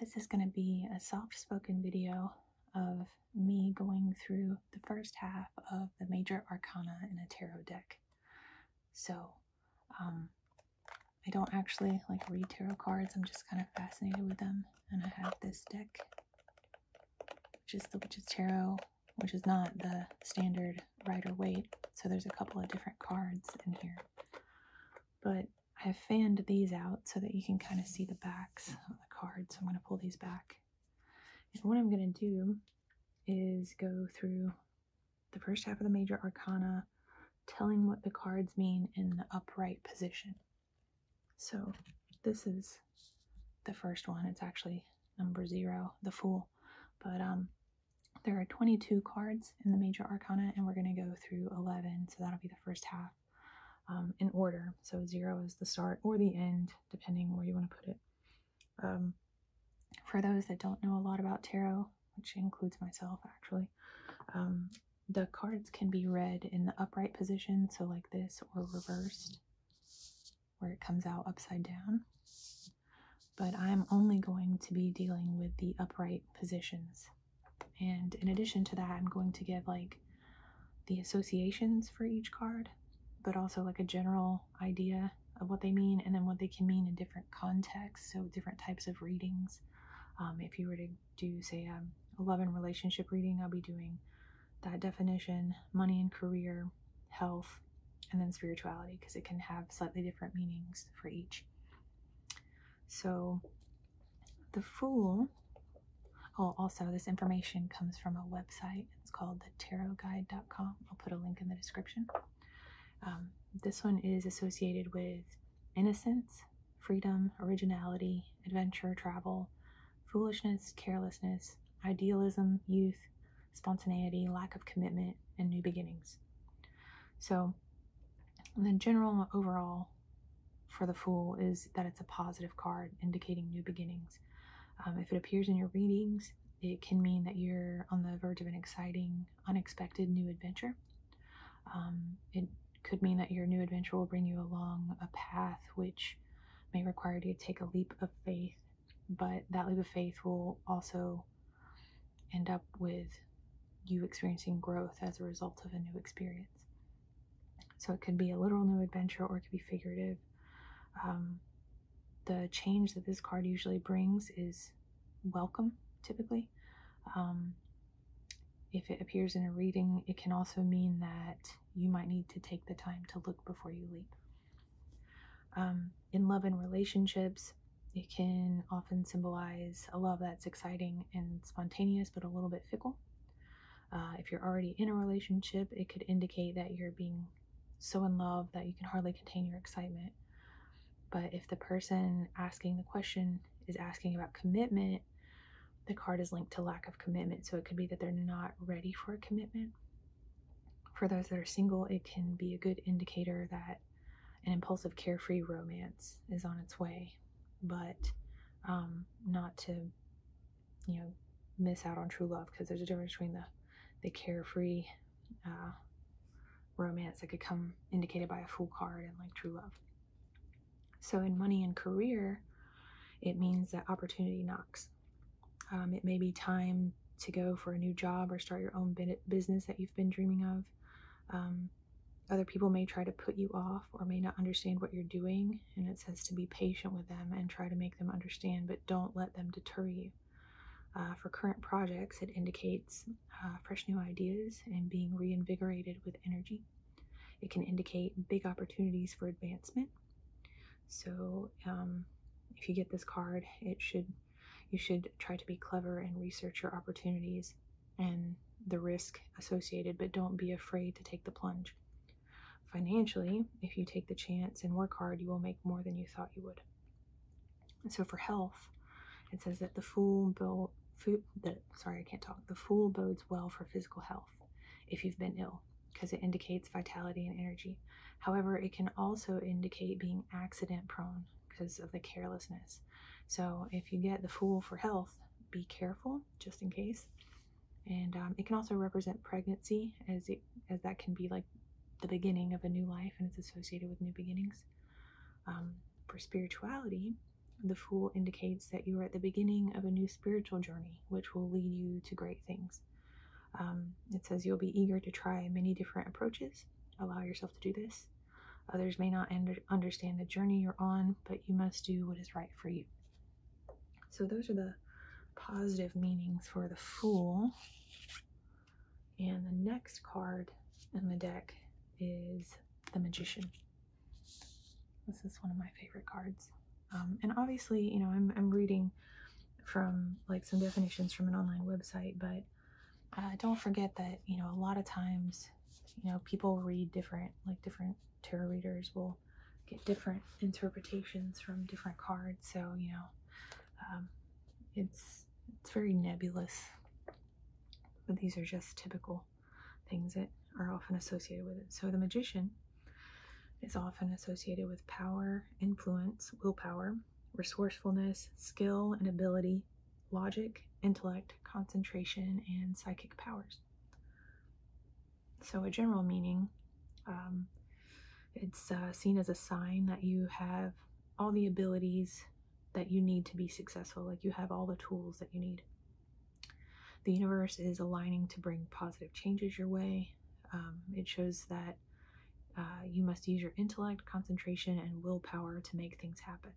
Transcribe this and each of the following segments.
This is going to be a soft spoken video of me going through the first half of the major arcana in a tarot deck. So, um, I don't actually like read tarot cards, I'm just kind of fascinated with them. And I have this deck, which is the Witch's Tarot which is not the standard rider weight. So there's a couple of different cards in here. But I have fanned these out so that you can kind of see the backs of the cards. So I'm going to pull these back. And what I'm going to do is go through the first half of the major arcana, telling what the cards mean in the upright position. So this is the first one. It's actually number zero, the Fool. But um, there are 22 cards in the major arcana, and we're going to go through 11, so that'll be the first half um, in order. So, zero is the start or the end, depending where you want to put it. Um, for those that don't know a lot about tarot, which includes myself actually, um, the cards can be read in the upright position, so like this, or reversed where it comes out upside down. But I'm only going to be dealing with the upright positions. And in addition to that, I'm going to give like the associations for each card, but also like a general idea of what they mean and then what they can mean in different contexts. So different types of readings. Um, if you were to do say a love and relationship reading, I'll be doing that definition, money and career, health, and then spirituality because it can have slightly different meanings for each. So, the Fool. Oh, also, this information comes from a website. It's called the Tarot thetarotguide.com. I'll put a link in the description. Um, this one is associated with innocence, freedom, originality, adventure, travel, foolishness, carelessness, idealism, youth, spontaneity, lack of commitment, and new beginnings. So, the general overall for the Fool is that it's a positive card indicating new beginnings. Um, if it appears in your readings, it can mean that you're on the verge of an exciting, unexpected new adventure. Um, it could mean that your new adventure will bring you along a path which may require you to take a leap of faith but that leap of faith will also end up with you experiencing growth as a result of a new experience. So it could be a literal new adventure or it could be figurative. Um, the change that this card usually brings is welcome, typically. Um, if it appears in a reading, it can also mean that you might need to take the time to look before you leap. Um, in love and relationships, it can often symbolize a love that's exciting and spontaneous, but a little bit fickle. Uh, if you're already in a relationship, it could indicate that you're being so in love that you can hardly contain your excitement. But if the person asking the question is asking about commitment, the card is linked to lack of commitment. So it could be that they're not ready for a commitment for those that are single, it can be a good indicator that an impulsive, carefree romance is on its way, but um, not to, you know, miss out on true love because there's a difference between the, the carefree uh, romance that could come indicated by a fool card and like true love. So in money and career, it means that opportunity knocks. Um, it may be time to go for a new job or start your own business that you've been dreaming of. Um, other people may try to put you off or may not understand what you're doing, and it says to be patient with them and try to make them understand, but don't let them deter you. Uh, for current projects, it indicates uh, fresh new ideas and being reinvigorated with energy. It can indicate big opportunities for advancement. So um, if you get this card, it should you should try to be clever and research your opportunities and the risk associated, but don't be afraid to take the plunge. Financially, if you take the chance and work hard, you will make more than you thought you would. So for health, it says that the fool built sorry i can't talk the fool bodes well for physical health if you've been ill because it indicates vitality and energy. However, it can also indicate being accident prone because of the carelessness. So if you get the fool for health, be careful just in case. And um, it can also represent pregnancy as it as that can be like the beginning of a new life and it's associated with new beginnings. Um, for spirituality, the fool indicates that you are at the beginning of a new spiritual journey, which will lead you to great things. Um, it says you'll be eager to try many different approaches. Allow yourself to do this. Others may not understand the journey you're on, but you must do what is right for you. So, those are the positive meanings for the Fool. And the next card in the deck is the Magician. This is one of my favorite cards. Um, and obviously, you know, I'm, I'm reading from like some definitions from an online website, but uh, don't forget that you know a lot of times you know people read different like different tarot readers will get different interpretations from different cards so you know um, it's it's very nebulous but these are just typical things that are often associated with it so the magician is often associated with power influence willpower resourcefulness, skill and ability, logic, intellect, concentration, and psychic powers. So, a general meaning um, it's uh, seen as a sign that you have all the abilities that you need to be successful, like you have all the tools that you need. The universe is aligning to bring positive changes your way, um, it shows that uh, you must use your intellect, concentration, and willpower to make things happen.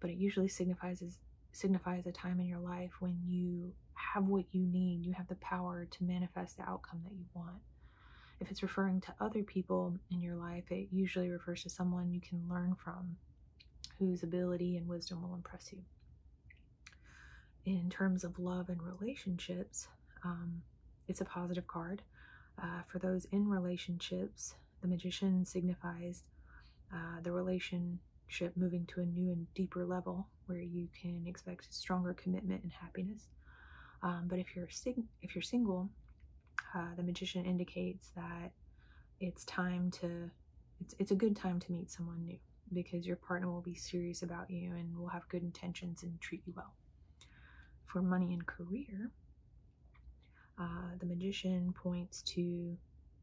But it usually signifies a time in your life when you have what you need, you have the power to manifest the outcome that you want. If it's referring to other people in your life, it usually refers to someone you can learn from whose ability and wisdom will impress you. In terms of love and relationships, um, it's a positive card. Uh, for those in relationships, the magician signifies uh, the relationship moving to a new and deeper level where you can expect stronger commitment and happiness. Um, but if you're sing- if you're single, uh, the magician indicates that it's time to it's, it's a good time to meet someone new because your partner will be serious about you and will have good intentions and treat you well. For money and career, uh, the magician points to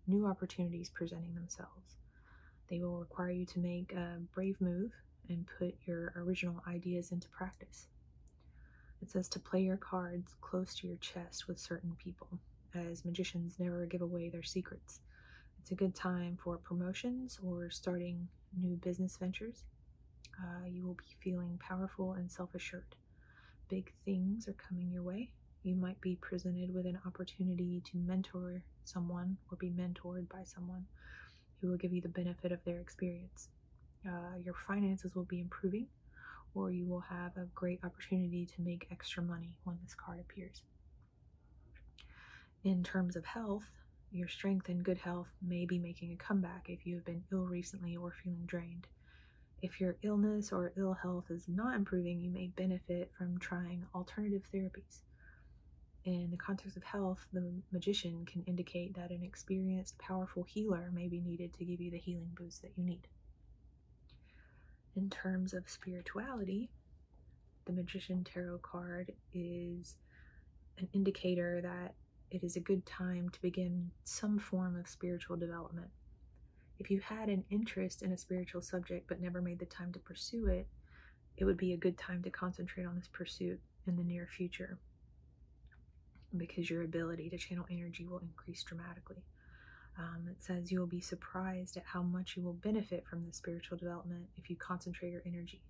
new opportunities presenting themselves. They will require you to make a brave move and put your original ideas into practice. It says to play your cards close to your chest with certain people, as magicians never give away their secrets. It's a good time for promotions or starting new business ventures. Uh, you will be feeling powerful and self assured. Big things are coming your way. You might be presented with an opportunity to mentor someone or be mentored by someone who will give you the benefit of their experience. Uh, your finances will be improving, or you will have a great opportunity to make extra money when this card appears in terms of health, your strength and good health may be making a comeback if you have been ill recently or feeling drained. If your illness or ill health is not improving, you may benefit from trying alternative therapies. In the context of health, the magician can indicate that an experienced, powerful healer may be needed to give you the healing boost that you need. In terms of spirituality, the Magician Tarot card is an indicator that it is a good time to begin some form of spiritual development. If you had an interest in a spiritual subject but never made the time to pursue it, it would be a good time to concentrate on this pursuit in the near future because your ability to channel energy will increase dramatically. Um, it says you will be surprised at how much you will benefit from the spiritual development if you concentrate your energy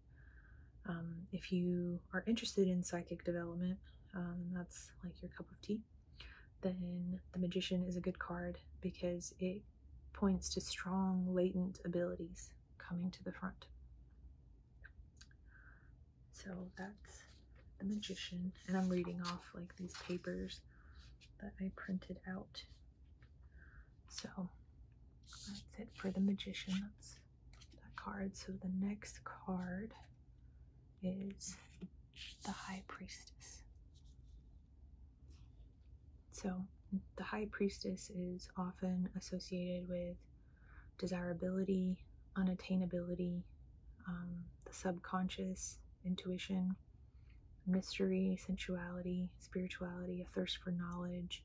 um, if you are interested in psychic development, um, that's like your cup of tea, then the Magician is a good card because it points to strong latent abilities coming to the front. So that's the Magician, and I'm reading off like these papers that I printed out so that's it for the magician. That's that card. So the next card is the High Priestess. So the High Priestess is often associated with desirability, unattainability, um, the subconscious, intuition, mystery, sensuality, spirituality, a thirst for knowledge,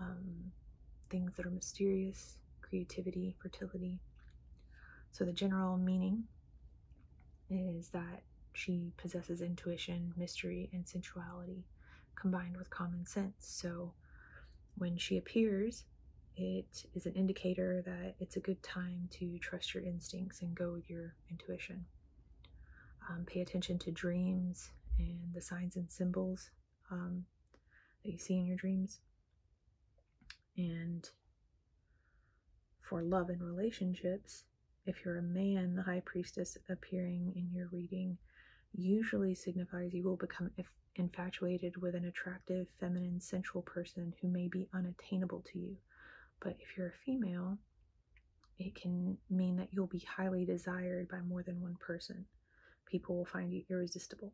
um, things that are mysterious, creativity, fertility. So, the general meaning is that she possesses intuition, mystery, and sensuality combined with common sense. So, when she appears, it is an indicator that it's a good time to trust your instincts and go with your intuition. Um, pay attention to dreams and the signs and symbols um, that you see in your dreams. And for love and relationships, if you're a man, the high priestess appearing in your reading usually signifies you will become infatuated with an attractive, feminine, sensual person who may be unattainable to you. But if you're a female, it can mean that you'll be highly desired by more than one person. People will find you irresistible.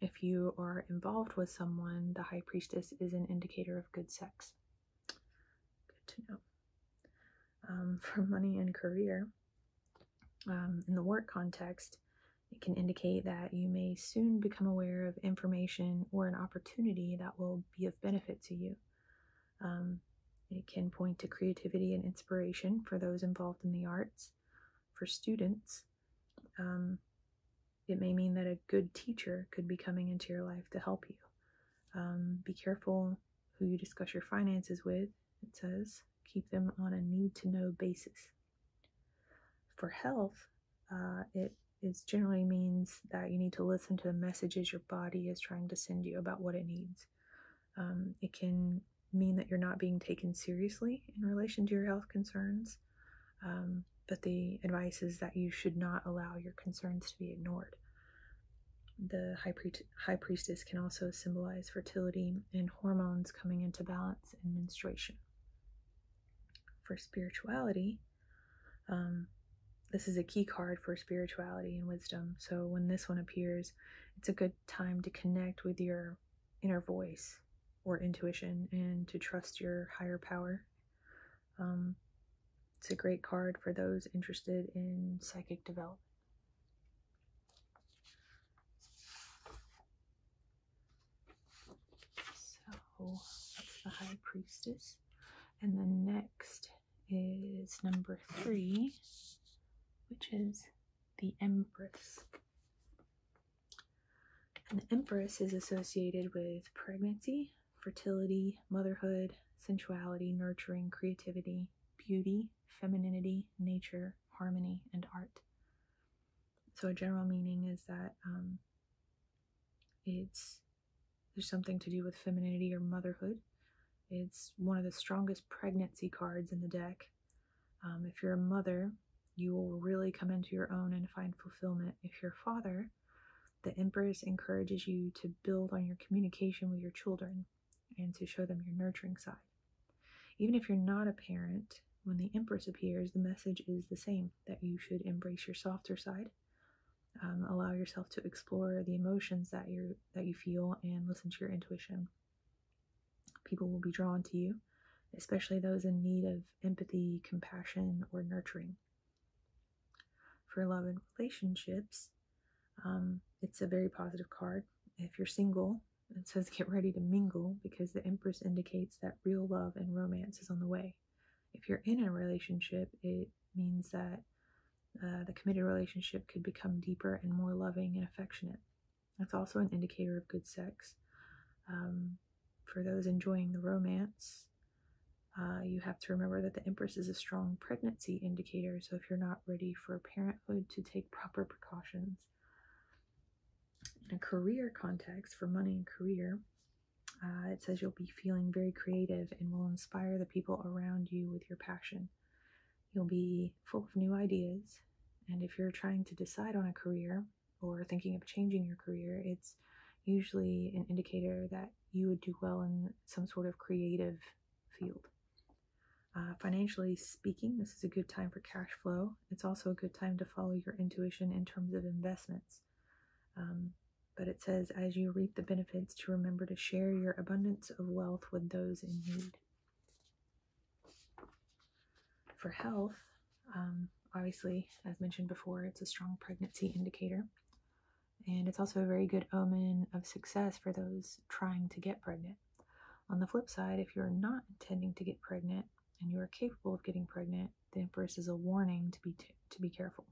If you are involved with someone, the High Priestess is an indicator of good sex. Good to know. Um, for money and career, um, in the work context, it can indicate that you may soon become aware of information or an opportunity that will be of benefit to you. Um, it can point to creativity and inspiration for those involved in the arts. For students, um, it may mean that a good teacher could be coming into your life to help you. Um, be careful who you discuss your finances with, it says. Keep them on a need to know basis. For health, uh, it generally means that you need to listen to the messages your body is trying to send you about what it needs. Um, it can mean that you're not being taken seriously in relation to your health concerns, um, but the advice is that you should not allow your concerns to be ignored. The high, priestess can also symbolize fertility and hormones coming into balance and menstruation. For spirituality, um, this is a key card for spirituality and wisdom. So when this one appears, it's a good time to connect with your inner voice or intuition and to trust your higher power. Um, it's a great card for those interested in psychic development. So that's the High Priestess. And the next is number three, which is the Empress. And the Empress is associated with pregnancy, fertility, motherhood, sensuality, nurturing, creativity, beauty, femininity, nature, harmony, and art. So, a general meaning is that um, it's there's something to do with femininity or motherhood, it's one of the strongest pregnancy cards in the deck. Um, if you're a mother, you will really come into your own and find fulfillment. If you're a father, the Empress encourages you to build on your communication with your children and to show them your nurturing side. Even if you're not a parent, when the Empress appears, the message is the same that you should embrace your softer side, um, allow yourself to explore the emotions that you're that you feel and listen to your intuition. People will be drawn to you, especially those in need of empathy, compassion, or nurturing. For love and relationships, um, it's a very positive card. If you're single, it says get ready to mingle because the Empress indicates that real love and romance is on the way. If you're in a relationship, it means that uh, the committed relationship could become deeper and more loving and affectionate. That's also an indicator of good sex. Um, for those enjoying the romance, uh, you have to remember that the Empress is a strong pregnancy indicator, so if you're not ready for parenthood, to take proper precautions. In a career context, for money and career, uh, it says you'll be feeling very creative and will inspire the people around you with your passion. You'll be full of new ideas. And if you're trying to decide on a career or thinking of changing your career, it's usually an indicator that you would do well in some sort of creative field. Uh, financially speaking, this is a good time for cash flow. It's also a good time to follow your intuition in terms of investments. Um, but it says, as you reap the benefits, to remember to share your abundance of wealth with those in need. For health, um, obviously, as mentioned before, it's a strong pregnancy indicator. And it's also a very good omen of success for those trying to get pregnant. On the flip side, if you're not intending to get pregnant and you are capable of getting pregnant, the Empress is a warning to be, to be careful.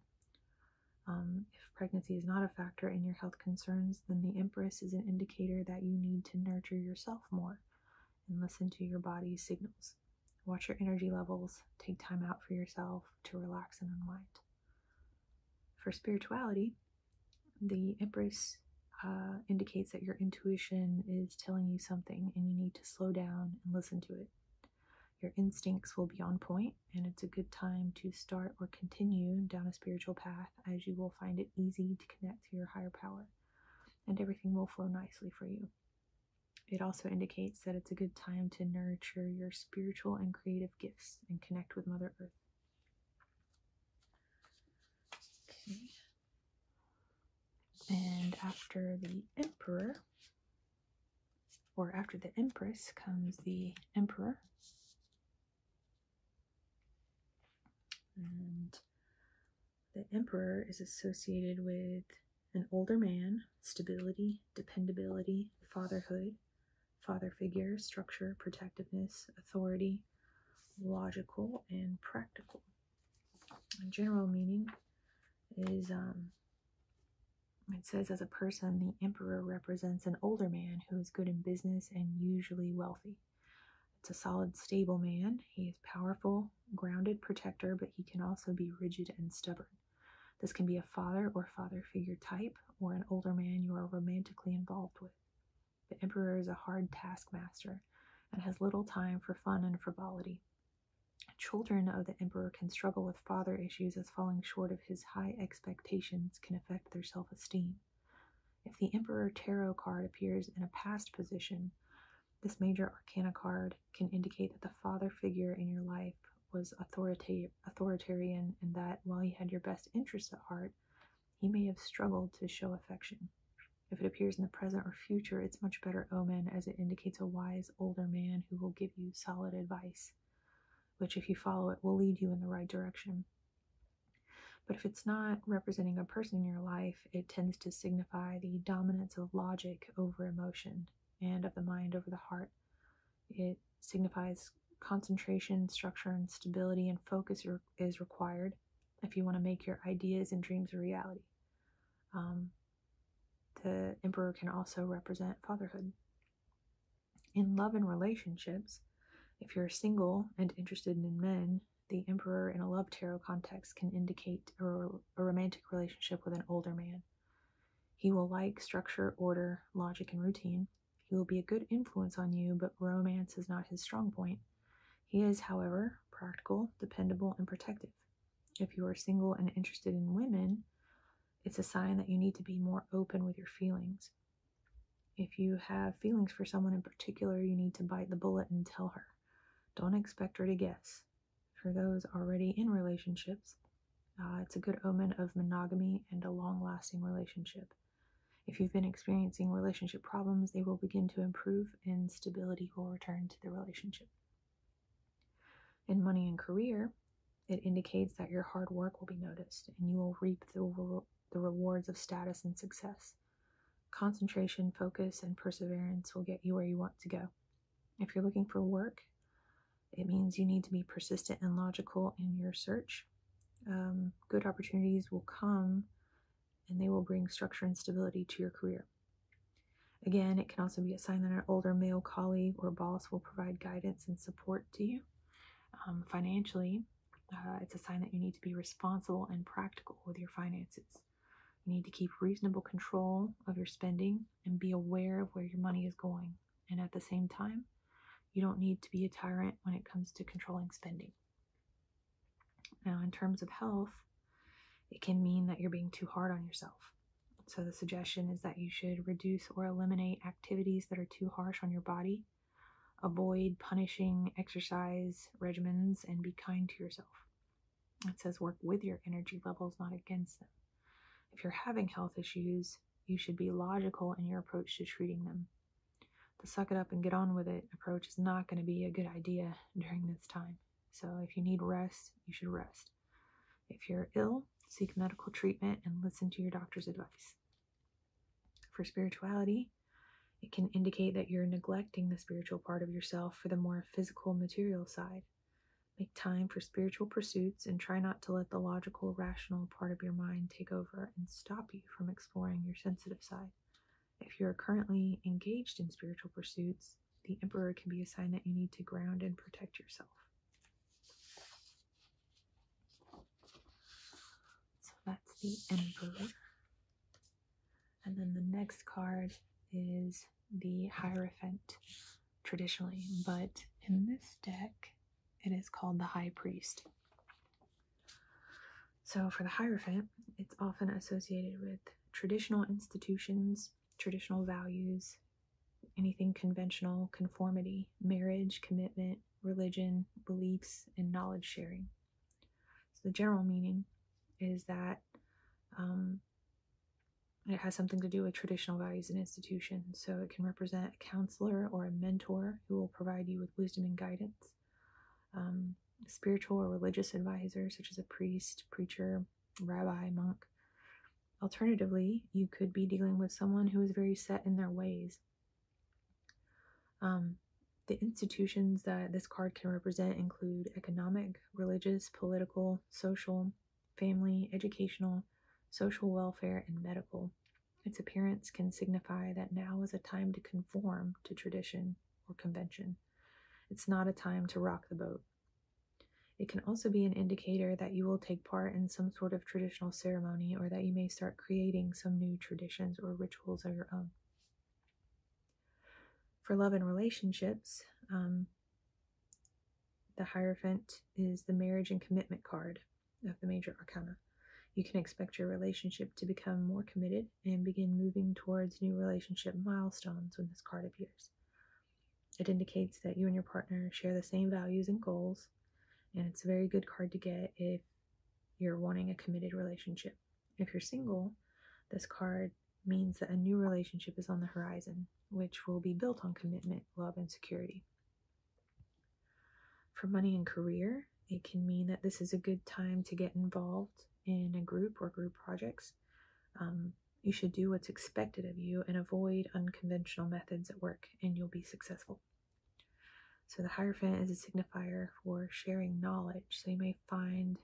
Um, if pregnancy is not a factor in your health concerns, then the Empress is an indicator that you need to nurture yourself more and listen to your body's signals. Watch your energy levels, take time out for yourself to relax and unwind. For spirituality, the Empress uh, indicates that your intuition is telling you something and you need to slow down and listen to it. Your instincts will be on point and it's a good time to start or continue down a spiritual path as you will find it easy to connect to your higher power and everything will flow nicely for you. It also indicates that it's a good time to nurture your spiritual and creative gifts and connect with Mother Earth. Okay. And after the Emperor, or after the Empress, comes the Emperor. And the emperor is associated with an older man, stability, dependability, fatherhood, father figure, structure, protectiveness, authority, logical, and practical. general meaning is um, it says as a person, the emperor represents an older man who is good in business and usually wealthy. It's a solid, stable man. He is powerful, grounded protector, but he can also be rigid and stubborn. This can be a father or father figure type, or an older man you are romantically involved with. The Emperor is a hard taskmaster and has little time for fun and frivolity. Children of the Emperor can struggle with father issues as falling short of his high expectations expectations can affect their self esteem. If the Emperor Tarot card appears in a past position, this major arcana card can indicate that the father figure in your life was authoritarian and that while he had your best interests at heart, he may have struggled to show affection. If it appears in the present or future, it's much better omen as it indicates a wise older man who will give you solid advice which, if you follow it, will lead you in the right direction. But if it's not representing a person in your life, it tends to signify the dominance of logic over emotion and of the mind over the heart. It signifies concentration, structure, and stability, and focus is required if you want to make your ideas and dreams a reality. Um, the emperor can also represent fatherhood. In love and relationships, if you're single and interested in men, the Emperor in a love tarot context can indicate a, romantic relationship with an older man. He will like structure, order, logic, and routine. He will be a good influence on you, but romance is not his strong point. He is, however, practical, dependable, and protective. If you are single and interested in women, it's a sign that you need to be more open with your feelings. If you have feelings for someone in particular, you need to bite the bullet and tell her. Don't expect her to guess. For those already in relationships, uh, it's a good omen of monogamy and a long lasting relationship. If you've been experiencing relationship problems, they will begin to improve and stability will return to the relationship. In money and career, it indicates that your hard work will be noticed and you will reap the, the rewards of status and success. Concentration, focus, and perseverance will get you where you want to go. If you're looking for work, it means you need to be persistent and logical in your search. Um, good opportunities will come and they will bring structure and stability to your career. Again, it can also be a sign that an older male colleague or boss will provide guidance and support to you. Um, financially, uh, it's a sign that you need to be responsible and practical with your finances. You need to keep reasonable control of your spending and be aware of where your money is going. And at the same time, you don't need to be a tyrant when it comes to controlling spending. Now, in terms of health, it can mean that you're being too hard on yourself. So, the suggestion is that you should reduce or eliminate activities that are too harsh on your body. Avoid punishing exercise regimens and be kind to yourself. It says work with your energy levels, not against them. If you're having health issues, you should be logical in your approach to treating them. The suck it up and get on with it approach is not going to be a good idea during this time. So if you need rest, you should rest. If you're ill, seek medical treatment and listen to your doctor's advice. For spirituality, it can indicate that you're neglecting the spiritual part of yourself for the more physical, material side. Make time for spiritual pursuits and try not to let the logical, rational part of your mind take over and stop you from exploring your sensitive side. If you are currently engaged in spiritual pursuits, the Emperor can be a sign that you need to ground and protect yourself. So that's the Emperor. And then the next card is the Hierophant traditionally, but in this deck, it is called the High Priest. So, for the Hierophant, it's often associated with traditional institutions, traditional values, anything conventional, conformity, marriage, commitment, religion, beliefs, and knowledge sharing. So the general meaning is that um, it has something to do with traditional values and institutions. So it can represent a counselor or a mentor who will provide you with wisdom and guidance. Um, spiritual or religious advisor, such as a priest, preacher, rabbi, monk. Alternatively, you could be dealing with someone who is very set in their ways um, the institutions that this card can represent include economic, religious, political, social, family, educational, social welfare, and medical. Its appearance can signify that now is a time to conform to tradition or convention. It's not a time to rock the boat. It can also be an indicator indicator that you will take part in some sort of traditional ceremony or that you may start creating some new traditions or rituals of your own. For love and relationships, um, the Hierophant is the marriage and commitment card of the major arcana. You can expect your relationship to become more committed and begin moving towards new relationship milestones when this card appears. It indicates that you and your partner share the same values and goals, and it's a very good card to get if you're wanting a committed relationship. If you're single, this card means that a new relationship is on the horizon, which will be built on commitment, love, and security. For money and career, it can mean that this is a good time to get involved in a group or group projects. Um, you should do what's expected of you and avoid unconventional methods at work, and you'll be successful. So the Hierophant is a signifier for sharing knowledge. So you may find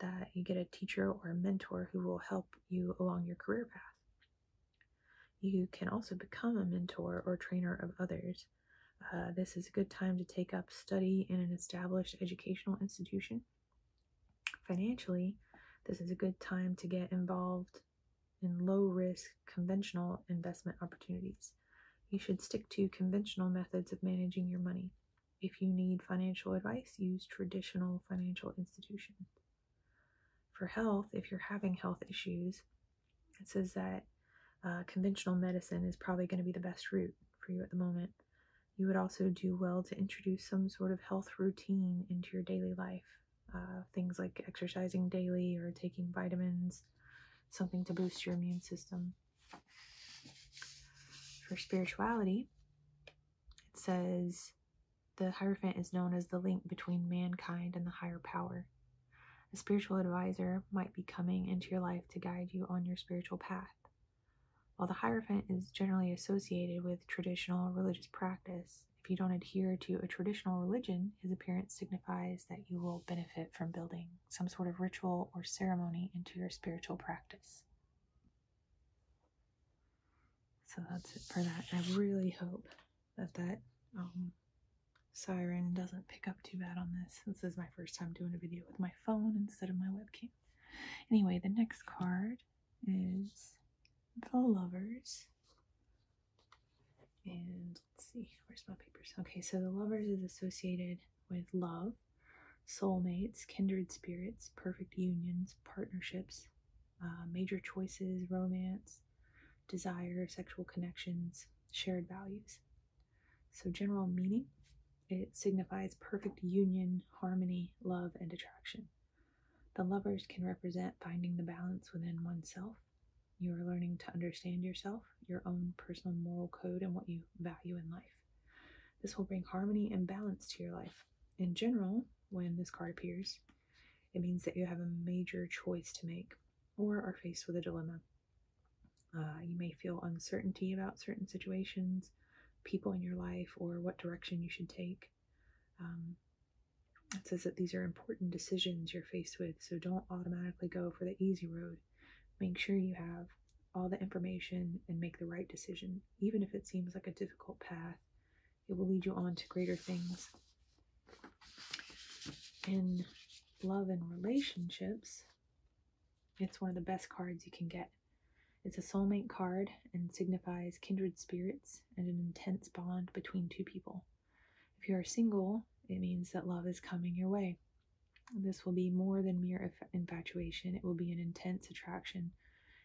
that you get a teacher or a mentor who will help you along your career path. You can also become a mentor or trainer of others. Uh, this is a good time to take up study in an established educational institution. Financially, this is a good time to get involved in low risk conventional investment opportunities. You should stick to conventional methods of managing your money. If you need financial advice, use traditional financial institutions. For health, if you're having health issues, it says that uh, conventional medicine is probably going to be the best route for you at the moment. You would also do well to introduce some sort of health routine into your daily life uh, things like exercising daily or taking vitamins, something to boost your immune system. For spirituality, it says the Hierophant is known as the link between mankind and the higher power. A spiritual advisor might be coming into your life to guide you on your spiritual path. While the Hierophant is generally associated with traditional religious practice, if you don't adhere to a traditional religion, his appearance signifies that you will benefit from building some sort of ritual or ceremony into your spiritual practice. So that's it for that. I really hope that that um, siren doesn't pick up too bad on this. This is my first time doing a video with my phone instead of my webcam. Anyway, the next card is The Lovers. And let's see, where's my papers? Okay, so the lovers is associated with love, soulmates, kindred spirits, perfect unions, partnerships, uh, major choices, romance, desire, sexual connections, shared values. So, general meaning it signifies perfect union, harmony, love, and attraction. The lovers can represent finding the balance within oneself. You are learning to understand yourself, your own personal moral code, and what you value in life. This will bring harmony and balance to your life. In general, when this card appears, it means that you have a major choice to make or are faced with a dilemma. Uh, you may feel uncertainty about certain situations, people in your life, or what direction you should take. Um, it says that these are important decisions you're faced with, so don't automatically go for the easy road. Make sure you have all the information and make the right decision. Even if it seems like a difficult path, it will lead you on to greater things. In love and relationships, it's one of the best cards you can get. It's a soulmate card and signifies kindred spirits and an intense bond between two people. If you are single, it means that love is coming your way. This will be more than mere infatuation, it will be an intense attraction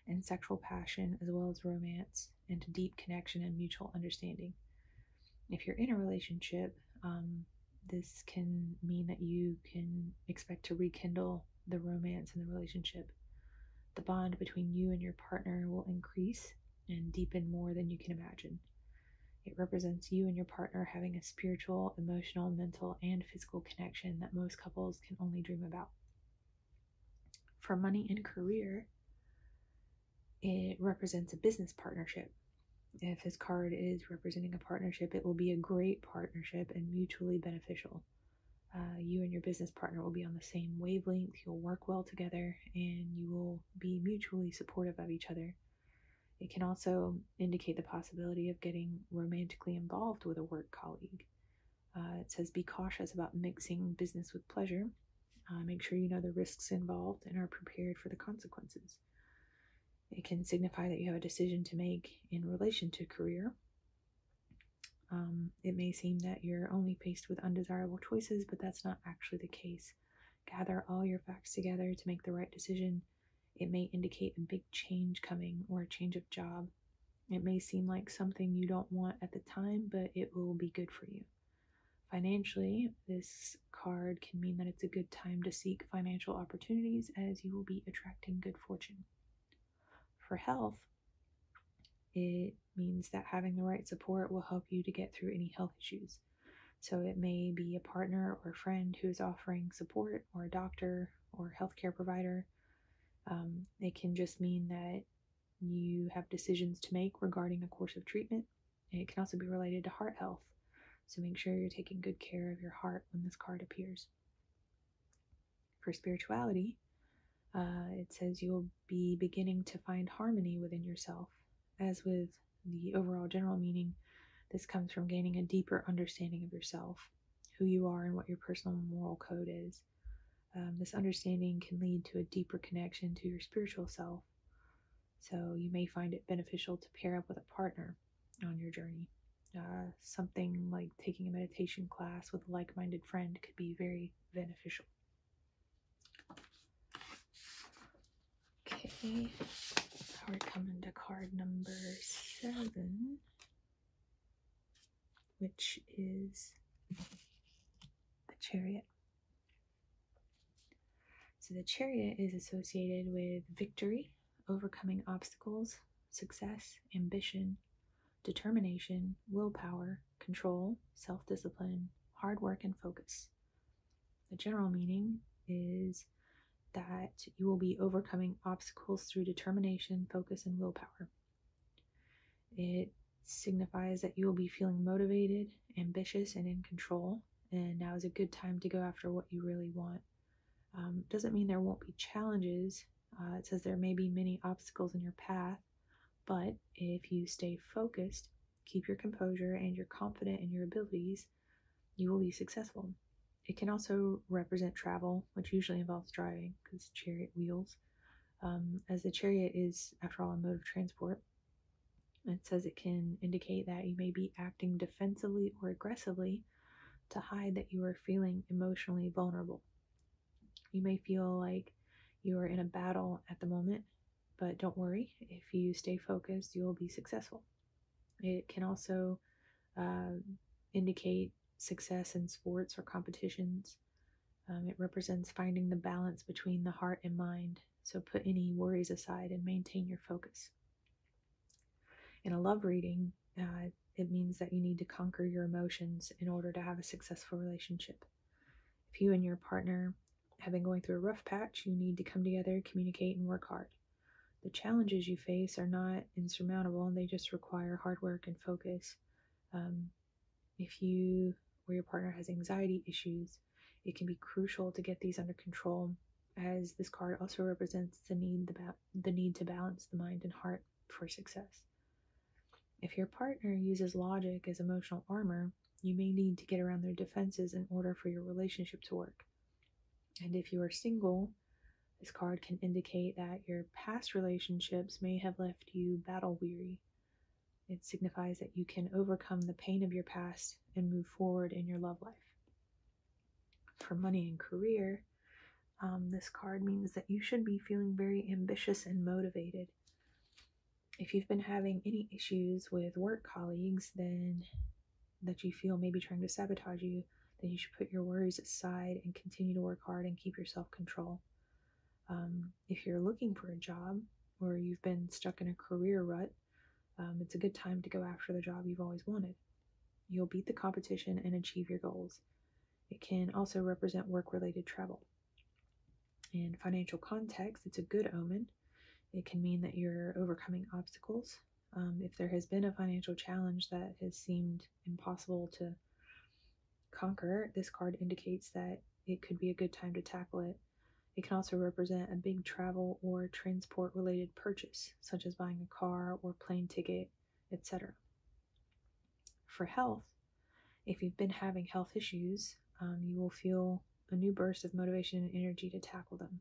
and sexual passion, as well as romance and deep connection and mutual understanding. If you're in a relationship, um, this can mean that you can expect to rekindle the romance in the relationship. The bond between you and your partner will increase and deepen more than you can imagine. It represents you and your partner having a spiritual, emotional, mental, and physical connection that most couples can only dream about. For money and career, it represents a business partnership. If this card is representing a partnership, it will be a great partnership and mutually beneficial. Uh, you and your business partner will be on the same wavelength, you'll work well together, and you will be mutually supportive of each other. It can also indicate the possibility of getting romantically involved with a work colleague. Uh, it says be cautious about mixing business with pleasure. Uh, make sure you know the risks involved and are prepared for the consequences. It can signify that you have a decision to make in relation to career. Um, um, it may seem that you're only faced with undesirable choices, but that's not actually the case. Gather all your facts together to make the right decision. It may indicate a big change coming or a change of job. It may seem like something you don't want at the time, but it will be good for you. Financially, this card can mean that it's a good time to seek financial opportunities as you will be attracting good fortune. For health, it means that having the right support will help you to get through any health issues. So it may be a partner or friend who is offering support, or a doctor or healthcare provider. Um, it can just mean that you have decisions to make regarding a course of treatment. It can also be related to heart health. So make sure you're taking good care of your heart when this card appears. For spirituality, uh, it says you'll be beginning to find harmony within yourself. As with the overall general meaning, this comes from gaining a deeper understanding of yourself, who you are, and what your personal moral code is. Um, this understanding can lead to a deeper connection to your spiritual self, so you may find it beneficial to pair up with a partner on your journey. Uh, something like taking a meditation class with a like minded friend could be very beneficial. Okay, now we're coming to card number seven, which is the chariot. So the chariot is associated with victory, overcoming obstacles, success, ambition, determination, willpower, control, self discipline, hard work, and focus. The general meaning is that you will be overcoming obstacles through determination, focus, and willpower. It signifies that you will be feeling motivated, ambitious, and in control, and now is a good time to go after what you really want. Um, doesn't mean there won't be challenges. Uh, it says there may be many obstacles in your path, but if you stay focused, keep your composure, and you're confident in your abilities, you will be successful. It can also represent travel, which usually involves driving because chariot wheels, um, as the chariot is, after all, a mode of transport. It says it can indicate that you may be acting defensively or aggressively to hide that you are feeling emotionally vulnerable. You may feel like you are in a battle at the moment, but don't worry. If you stay focused, you will be successful. It can also uh, indicate success in sports or competitions. Um, it represents finding the balance between the heart and mind. So put any worries aside and maintain your focus. In a love reading, uh, it means that you need to conquer your emotions in order to have a successful relationship. If you and your partner have been going through a rough patch, you need to come together, communicate, and work hard. The challenges you face are not insurmountable and they just require hard work and focus. Um, if you or your partner has anxiety issues, it can be crucial to get these under control as this card also represents the need the, the need to balance the mind and heart for success. If your partner uses logic as emotional armor, you may need to get around their defenses in order for your relationship to work. And if you are single, this card can indicate that your past relationships may have left you battle weary. It signifies that you can overcome the pain of your past and move forward in your love life. For money and career, um, this card means that you should be feeling very ambitious and motivated if you've been having any issues with work colleagues, then that you feel maybe trying to sabotage you, then you should put your worries aside and continue to work hard and keep your self control. Um, if you're looking for a job or you've been stuck in a career rut, um, it's a good time to go after the job you've always wanted. You'll beat the competition and achieve your goals. It can also represent work related travel. In financial context, it's a good omen. It can mean that you're overcoming obstacles. Um, if there has been a financial challenge that has seemed impossible to conquer, this card indicates that it could be a good time to tackle it. It can also represent a big travel or transport related purchase, such as buying a car or plane ticket, etc for health. If you've been having health issues, um, you will feel a new burst of motivation and energy to tackle them.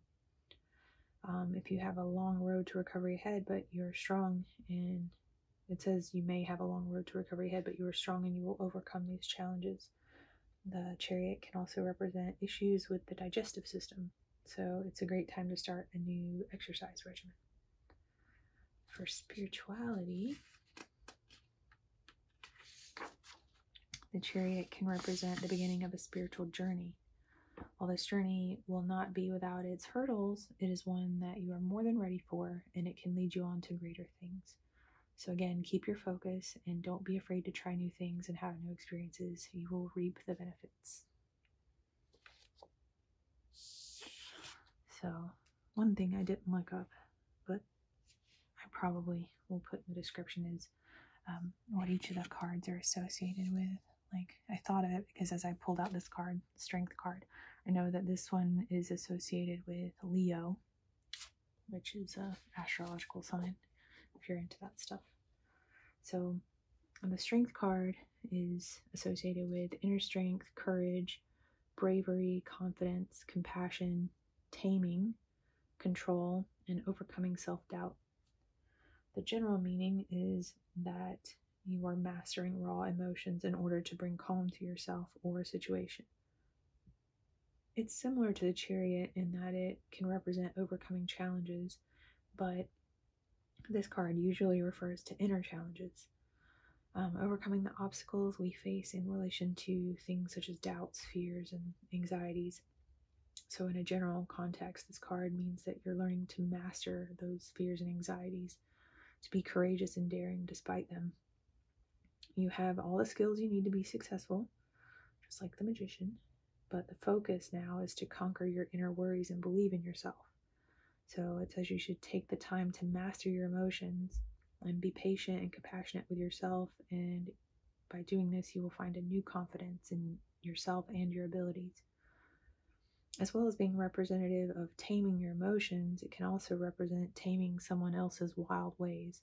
Um, if you have a long road to recovery ahead, but you're strong and it says you may have a long road to recovery ahead, but you are strong and you will overcome these challenges. The chariot can also represent issues with the digestive system, so it's a great time to start a new exercise regimen for spirituality. The chariot can represent the beginning of a spiritual journey. While this journey will not be without its hurdles, it is one that you are more than ready for and it can lead you on to greater things. So, again, keep your focus and don't be afraid to try new things and have new experiences. You will reap the benefits. So, one thing I didn't look up, but I probably will put in the description is um, what each of the cards are associated with. Like I thought of it because as I pulled out this card, strength card, I know that this one is associated with Leo, which is a astrological sign if you're into that stuff. So the strength card is associated with inner strength, courage, bravery, confidence, compassion, taming, control, and overcoming self doubt. The general meaning is that you are mastering raw emotions in order to bring calm to yourself or a situation. It's similar to the chariot in that it can represent overcoming challenges, but this card usually refers to inner challenges. Um, overcoming the obstacles we face in relation to things such as doubts, fears, and anxieties. So, in a general context, this card means that you're learning to master those fears and anxieties, to be courageous and daring despite them. You have all the skills you need to be successful, just like the magician, but the focus now is to conquer your inner worries and believe in yourself. So, it says you should take the time to master your emotions and be patient and compassionate with yourself. And by doing this, you will find a new confidence in yourself and your abilities. As well as being representative of taming your emotions, it can also represent taming someone else's wild ways.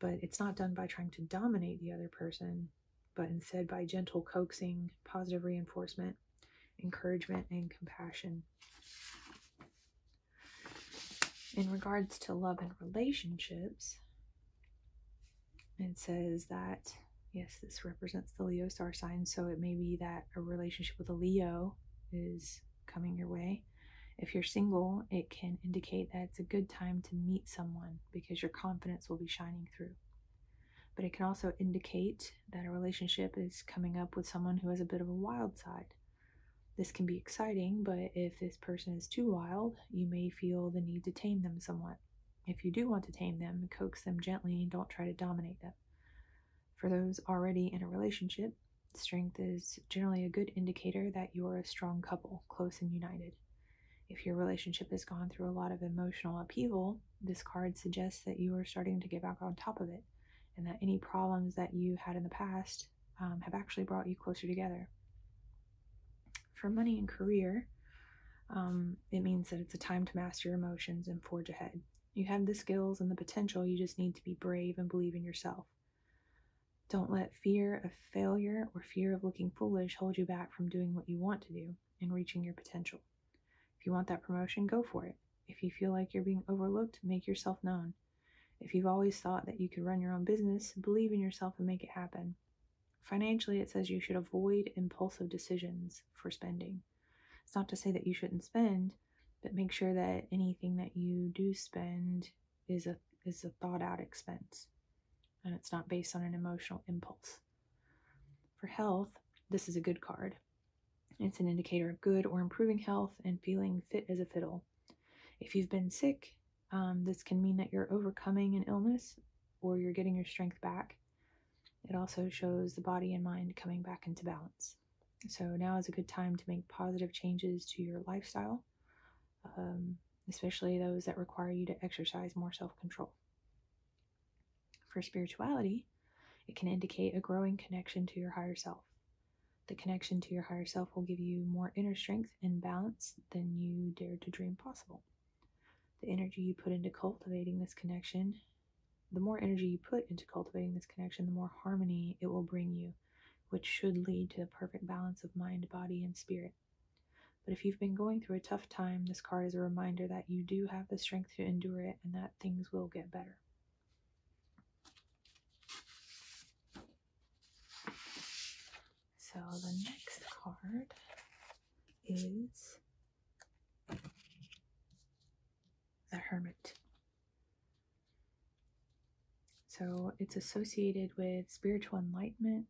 But it's not done by trying to dominate the other person, but instead by gentle coaxing, positive reinforcement, encouragement, and compassion. In regards to love and relationships, it says that yes, this represents the Leo star sign, so it may be that a relationship with a Leo is coming your way. If you're single, it can indicate that it's a good time to meet someone because your confidence will be shining through. But it can also indicate that a relationship is coming up with someone who has a bit of a wild side. This can be exciting, but if this person is too wild, you may feel the need to tame them somewhat. If you do want to tame them, coax them gently and don't try to dominate them. For those already in a relationship, strength is generally a good indicator that you're a strong couple, close and united. If your relationship has gone through a lot of emotional upheaval, this card suggests that you are starting to get back on top of it and that any problems that you had in the past um, have actually brought you closer together. For money and career, um, it means that it's a time to master your emotions and forge ahead. You have the skills and the potential, you just need to be brave and believe in yourself. Don't let fear of failure or fear of looking foolish hold you back from doing what you want to do and reaching your potential. If you want that promotion, go for it. If you feel like you're being overlooked, make yourself known. If you've always thought that you could run your own business, believe in yourself and make it happen. Financially, it says you should avoid impulsive decisions for spending. It's not to say that you shouldn't spend, but make sure that anything that you do spend is a is a thought out expense and it's not based on an emotional impulse. For health, this is a good card. It's an indicator of good or improving health and feeling fit as a fiddle. If you've been sick, um, this can mean that you're overcoming an illness or you're getting your strength back. It also shows the body and mind coming back into balance. So now is a good time to make positive changes to your lifestyle, um, especially those that require you to exercise more self control. For spirituality, it can indicate a growing connection to your higher self. The connection to your higher self will give you more inner strength and balance than you dared to dream possible. The energy you put into cultivating this connection, the more energy you put into cultivating this connection, the more harmony it will bring you, which should lead to the perfect balance of mind, body, and spirit. But if you've been going through a tough time, this card is a reminder that you do have the strength to endure it and that things will get better. So the next card is the Hermit. So it's associated with spiritual enlightenment,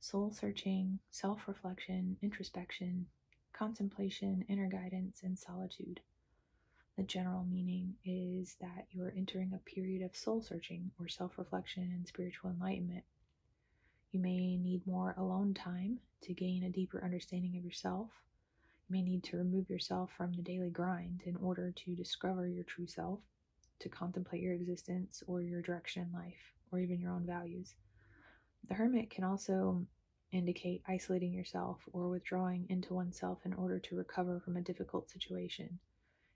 soul searching, self reflection, introspection, contemplation, inner guidance, and solitude. The general meaning is that you are entering a period of soul searching or self reflection and spiritual enlightenment. You may need more alone time to gain a deeper understanding of yourself. You may need to remove yourself from the daily grind in order to discover your true self, to contemplate your existence or your direction in life, or even your own values. The hermit can also indicate isolating yourself or withdrawing into oneself in order to recover from a difficult situation,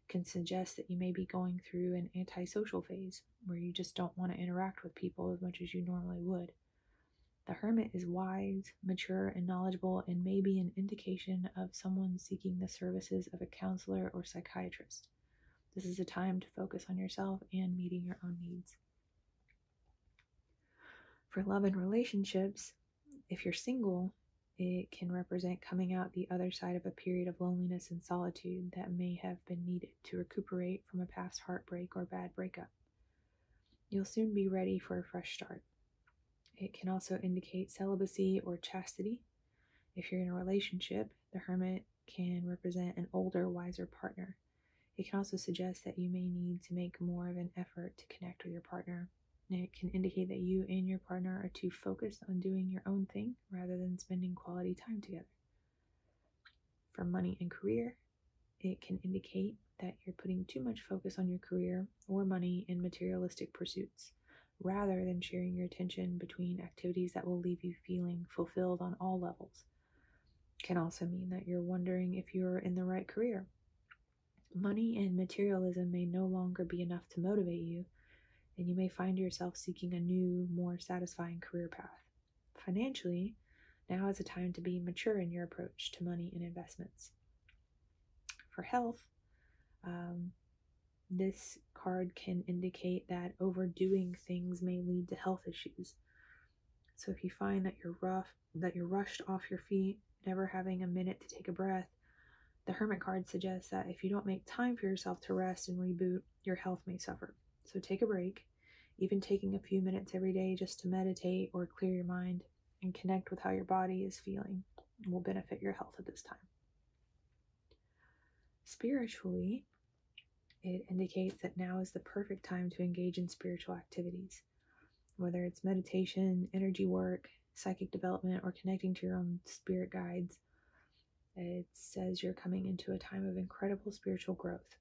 can suggest that you may be going through an antisocial phase where you just don't want to interact with people as much as you normally would. The hermit is wise, mature, and knowledgeable, and may be an indication of someone seeking the services of a counselor or psychiatrist. This is a time to focus on yourself and meeting your own needs. For love and relationships, if you're single, it can represent coming out the other side of a period of loneliness and solitude that may have been needed to recuperate from a past heartbreak or bad breakup. You'll soon be ready for a fresh start. It can also indicate celibacy or chastity. If you're in a relationship, the hermit can represent an older, wiser partner. It can also suggest that you may need to make more of an effort to connect with your partner. it can indicate that you and your partner are too focused on doing your own thing rather than spending quality time together. For money and career, it can indicate that you're putting too much focus on your career or money and materialistic pursuits rather than sharing your attention between activities that will leave you feeling fulfilled on all levels. It can also mean that you're wondering if you're in the right career Money and materialism may no longer be enough to motivate you, and you may find yourself seeking a new, more satisfying career path. Financially, now is a time to be mature in your approach to money and investments. For health, um, this card can indicate that overdoing things may lead to health issues. So if you find that you're rough that you're rushed off your feet, never having a minute to take a breath. The Hermit card suggests that if you don't make time for yourself to rest and reboot, your health may suffer. So take a break, even taking a few minutes every day just to meditate or clear your mind and connect with how your body is feeling will benefit your health at this time. Spiritually, it indicates that now is the perfect time to engage in spiritual activities whether it's meditation, energy work, psychic development, or connecting to your own spirit guides. It says you're coming into a time of incredible spiritual growth.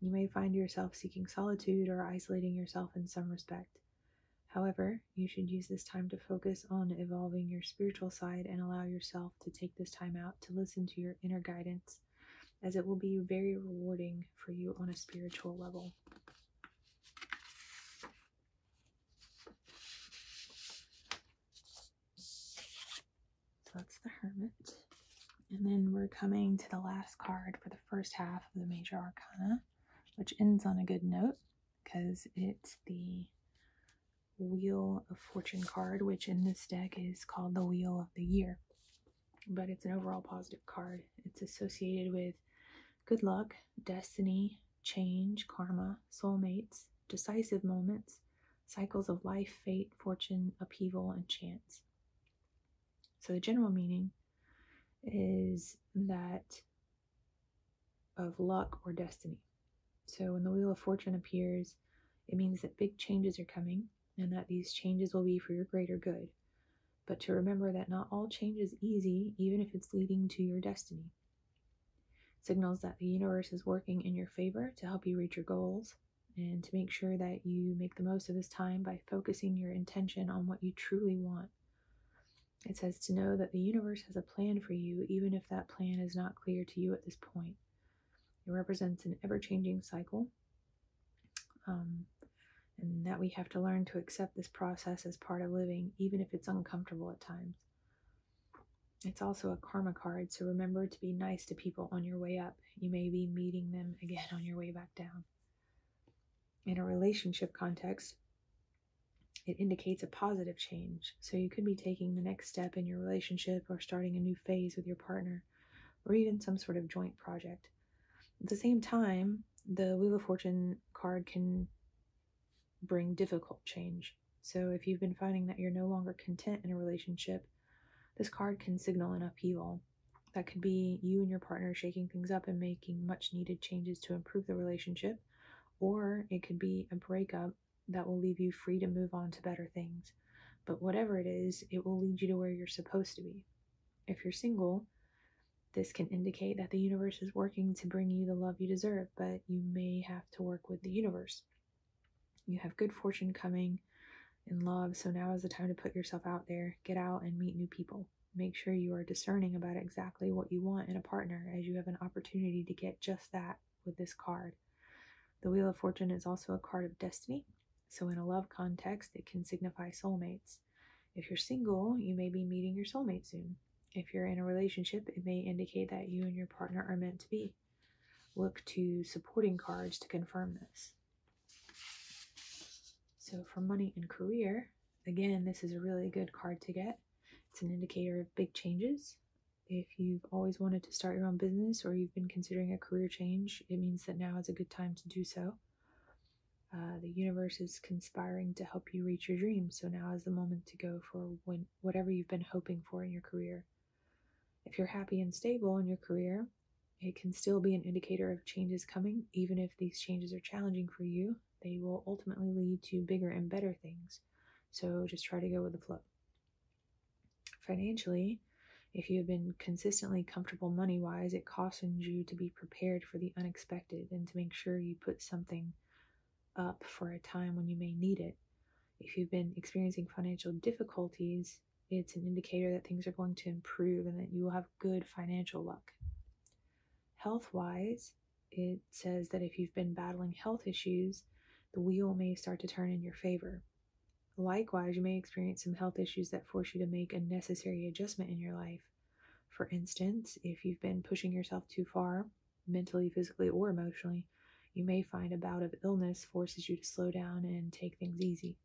You may find yourself seeking solitude or isolating yourself in some respect. However, you should use this time to focus on evolving your spiritual side and allow yourself to take this time out to listen to your inner guidance, as it will be very rewarding for you on a spiritual level. So that's the Hermit. And then we're coming to the last card for the first half of the Major Arcana, which ends on a good note because it's the Wheel of Fortune card, which in this deck is called the Wheel of the Year but it's an overall positive card. It's associated with good luck, destiny, change, karma, soulmates, decisive moments, cycles of life, fate, fortune, upheaval, and chance. So the general meaning is that of luck or destiny. So when the Wheel of Fortune appears, it means that big changes are coming and that these changes will be for your greater good but to remember that not all change is easy, even if it's leading to your destiny. Signals that the universe is working in your favor to help you reach your goals and to make sure that you make the most of this time by focusing your intention on what you truly want. It says to know that the universe has a plan for you, even if that plan is not clear to you at this point. It represents an ever changing cycle um, and that we have to learn to accept this process as part of living, even if it's uncomfortable at times. It's also a karma card, so remember to be nice to people on your way up. You may be meeting them again on your way back down. In a relationship context, it indicates a positive change, so you could be taking the next step in your relationship or starting a new phase with your partner, or even some sort of joint project. At the same time, the Wheel of Fortune card can bring difficult change. So if you've been finding that you're no longer content in a relationship, this card can signal an upheaval. That could be you and your partner shaking things up and making much needed changes to improve the relationship, or it could be a breakup that will leave you free to move on to better things. But whatever it is, it will lead you to where you're supposed to be. If you're single, this can indicate that the universe is working to bring you the love you deserve, but you may have to work with the universe. You have good fortune coming in love, so now is the time to put yourself out there, get out and meet new people. Make sure you are discerning about exactly what you want in a partner, as you have an opportunity to get just that with this card. The Wheel of Fortune is also a card of destiny, so in a love context, it can signify soulmates. If you're single, you may be meeting your soulmate soon. If you're in a relationship, it may indicate that you and your partner are meant to be. Look to supporting cards to confirm this. So, for money and career, again, this is a really good card to get. It's an indicator of big changes. If you've always wanted to start your own business or you've been considering a career change, it means that now is a good time to do so. Uh, the universe is conspiring to help you reach your dreams, so now is the moment to go for when, whatever you've been hoping for in your career. If you're happy and stable in your career, it can still be an indicator of changes coming, even if these changes are challenging for you. They will ultimately lead to bigger and better things, so just try to go with the flow. Financially, if you have been consistently comfortable money wise, it cautions you to be prepared for the unexpected and to make sure you put something up for a time when you may need it. If you've been experiencing financial difficulties, it's an indicator that things are going to improve and that you will have good financial luck. Health wise, it says that if you've been battling health issues, the wheel may start to turn in your favor. Likewise, you may experience some health issues that force you to make a necessary adjustment in your life. For instance, if you've been pushing yourself too far, mentally, physically, or emotionally, you may find a bout of illness forces you to slow down and take things easy.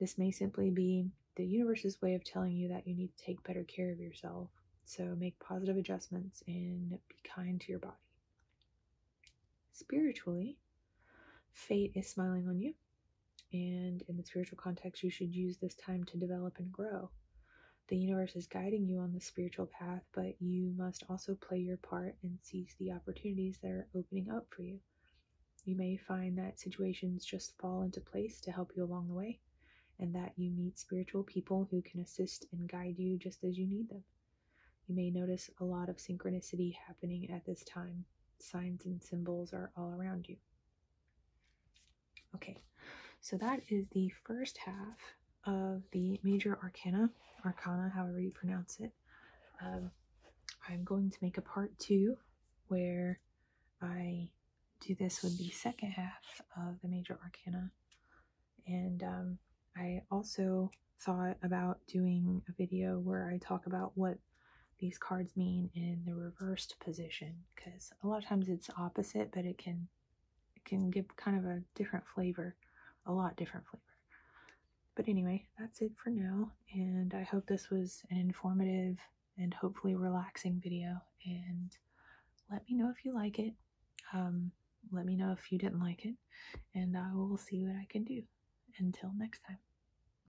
This may simply be the universe's way of telling you that you need to take better care of yourself. So make positive adjustments and be kind to your body. Spiritually, fate is smiling on you and in the spiritual context, you should use this time to develop and grow. The universe is guiding you on the spiritual path, but you must also play your part and seize the opportunities that are opening up for you. You may find that situations just fall into place to help you along the way, and that you meet spiritual people who can assist and guide you just as you need them. You may notice a lot of synchronicity happening at this time. Signs and symbols are all around you. Okay, so that is the first half of the major arcana, arcana, however you pronounce it. Um, I'm going to make a part two where I do this with the second half of the major arcana. And um, I also thought about doing a video where I talk about what these cards mean in the reversed position because a lot of times it's opposite but it can it can give kind of a different flavor a lot different flavor but anyway that's it for now and i hope this was an informative and hopefully relaxing video and let me know if you like it um, let me know if you didn't like it and i will see what i can do until next time